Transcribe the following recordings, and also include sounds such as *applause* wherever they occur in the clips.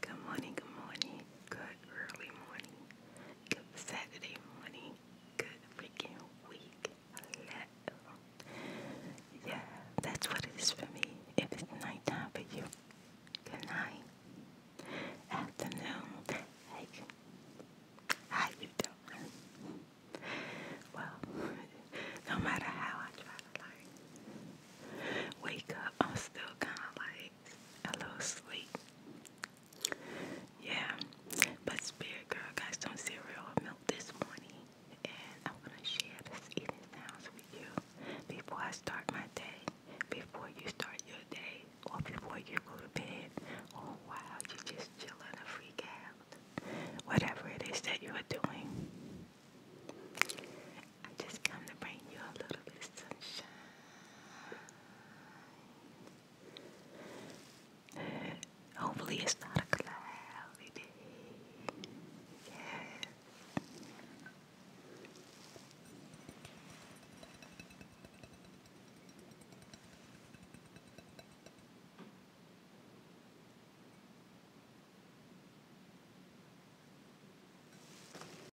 Good morning, good morning, good early morning, good Saturday morning, good freaking week. Yeah, that's what it is for me. If it's nighttime for you, good night. Afternoon, hey, how you doing? Well, *laughs* no matter how I try to like wake up, I'm still kind of like Hello, sleep. Yeah, but Spirit Girl got some cereal and milk this morning, and I'm gonna share this eating sounds with you before I start my day, before you start your day, or before you go to bed, or while you are just chilling or freak out, whatever it is that you are doing. I just come to bring you a little bit of sunshine. Hopefully it's not a cloudy day.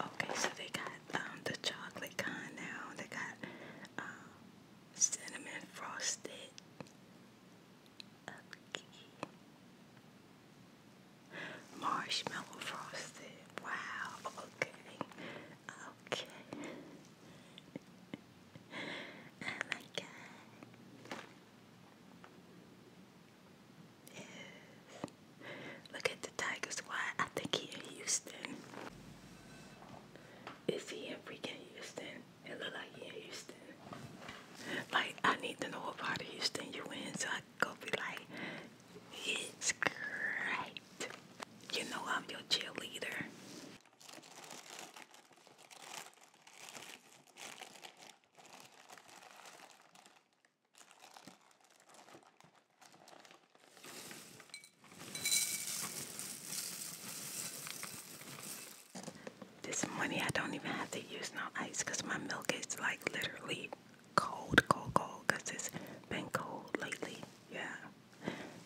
Okay, so they got um, the chocolate con now. They got um, cinnamon frosted. Okay. Marshmallow frosted. Wow. Okay. Okay. *laughs* I like that. Yes. Look at the Tigers. Why? I think he in Houston. Is he in freaking Houston? It look like he in Houston. Like I need to know about part of Houston you in so I go be like, it's great. You know I'm your cheerleader. This morning I don't even have to use no ice because my milk is like literally cold, cold, cold because it's been cold lately. Yeah.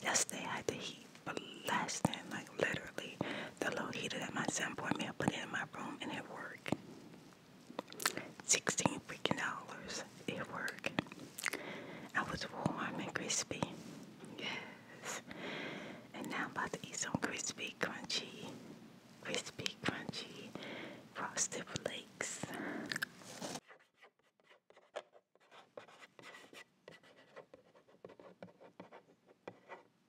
Yesterday I had the heat but last blasting, like literally the little heater that my son bought me, I put it in my room and it worked. 16 freaking dollars. It worked. I was warm and crispy. Yes. And now I'm about to eat some crispy, crunchy, crispy, crunchy frosted flakes.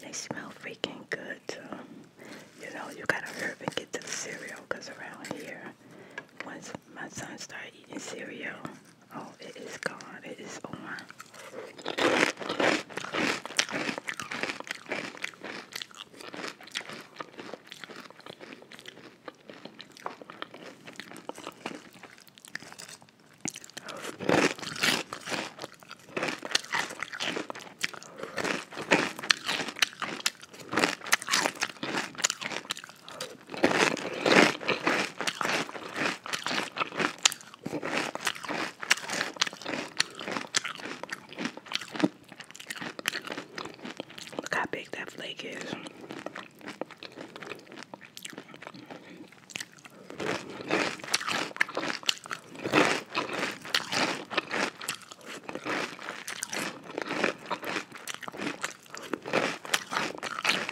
They smell freaking good. Um, you know, you gotta hurry and get to the cereal because around here, once my son started eating cereal, Oh, it is gone. It is on. Look how big that flake is.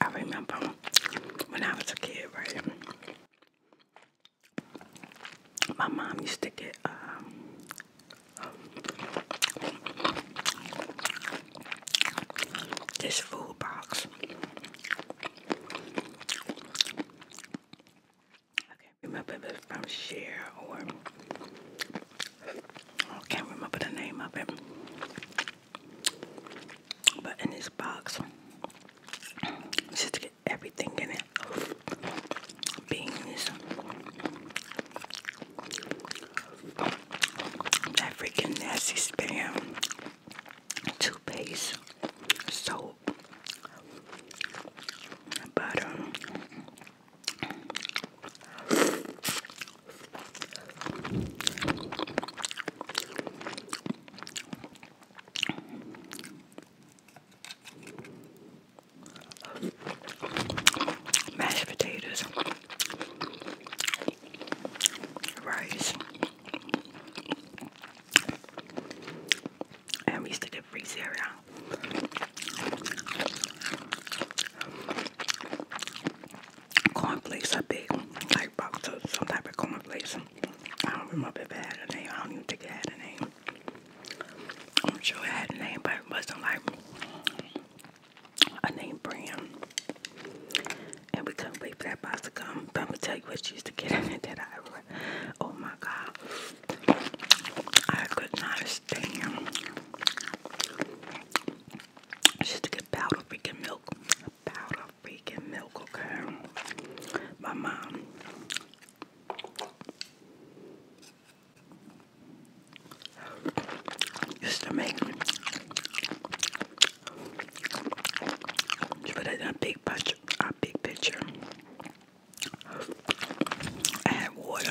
I remember when I was a kid, right? My mom used to get um, this food box. I can't remember if it's from Share or I can't remember the name of it. But in this box, just get everything in it beans, that freaking nasty spam toothpaste soap butter. Mashed potatoes rice. And we used to get free cereal. Cornflakes are big, like box of some type of cornflakes. I don't remember if it had a name. I don't even think it had a name. I'm sure it had a name, but it wasn't like I named Bram, And we couldn't wait for that box to come. But I'm gonna tell you what she used to get *laughs* in that I oh my god. I could not stand she used to get powder freaking milk. Powder freaking milk, okay. My mom just to make put in a big picture a big picture I water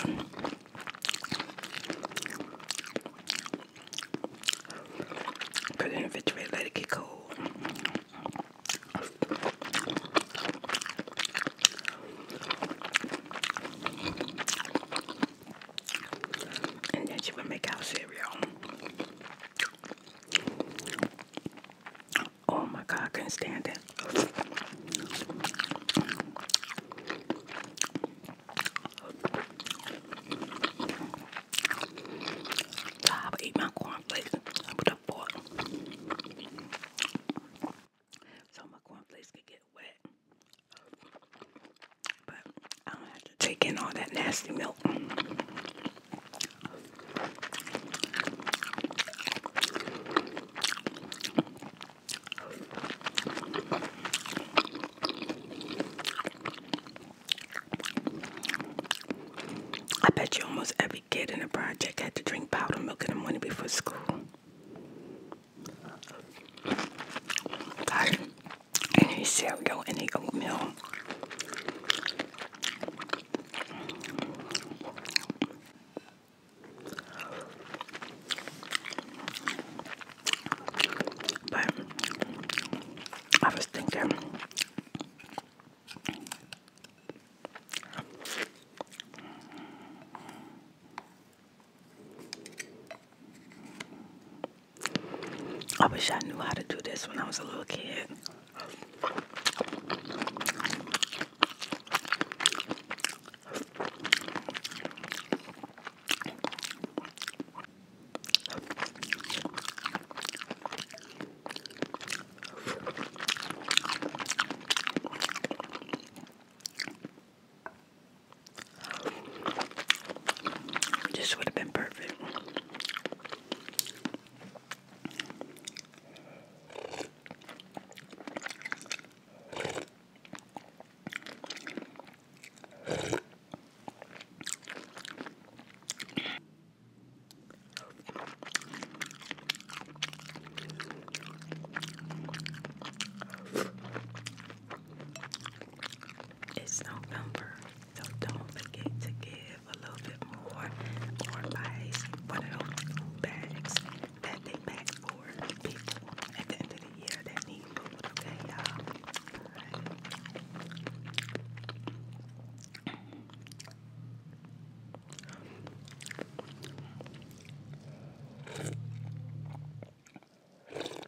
put in the refrigerator let it get cold and then she would make our cereal. Oh my God, I couldn't stand it. I eat my cornflakes with a fork. So my cornflakes could get wet. But I don't have to take in all that nasty milk. I bet you almost every kid in the project had to drink powdered milk in the morning before school. God, any cereal, any oatmeal. But I was thinking I wish I knew how to do this when I was a little kid. This would have been perfect. It's November, so don't forget to give a little bit more or buy one of those bags that they pack for people at the end of the year that need food, okay, y'all? Right.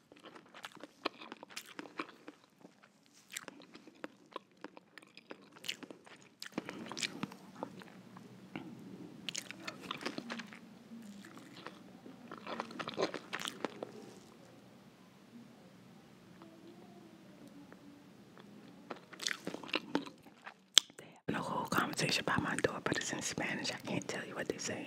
They having a whole conversation by my door, but it's in Spanish. I can't tell you what they're saying.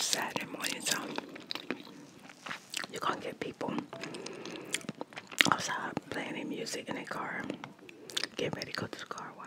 Saturday morning, so you can going get people outside playing their music in a car, Get ready to go to the car wash.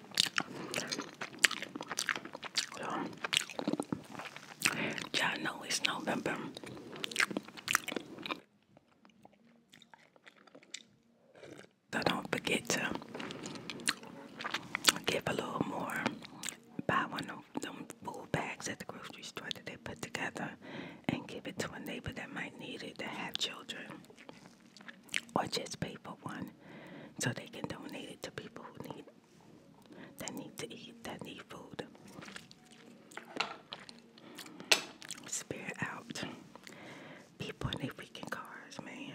So, y'all know it's November. So don't forget to give a little more. Buy one of them food bags at the grocery store that they put together and give it to a neighbor that might need it to have children or just pay for one so they can donate it to people who need that need to eat, that need food. Spirit out. People in their freaking cars, man.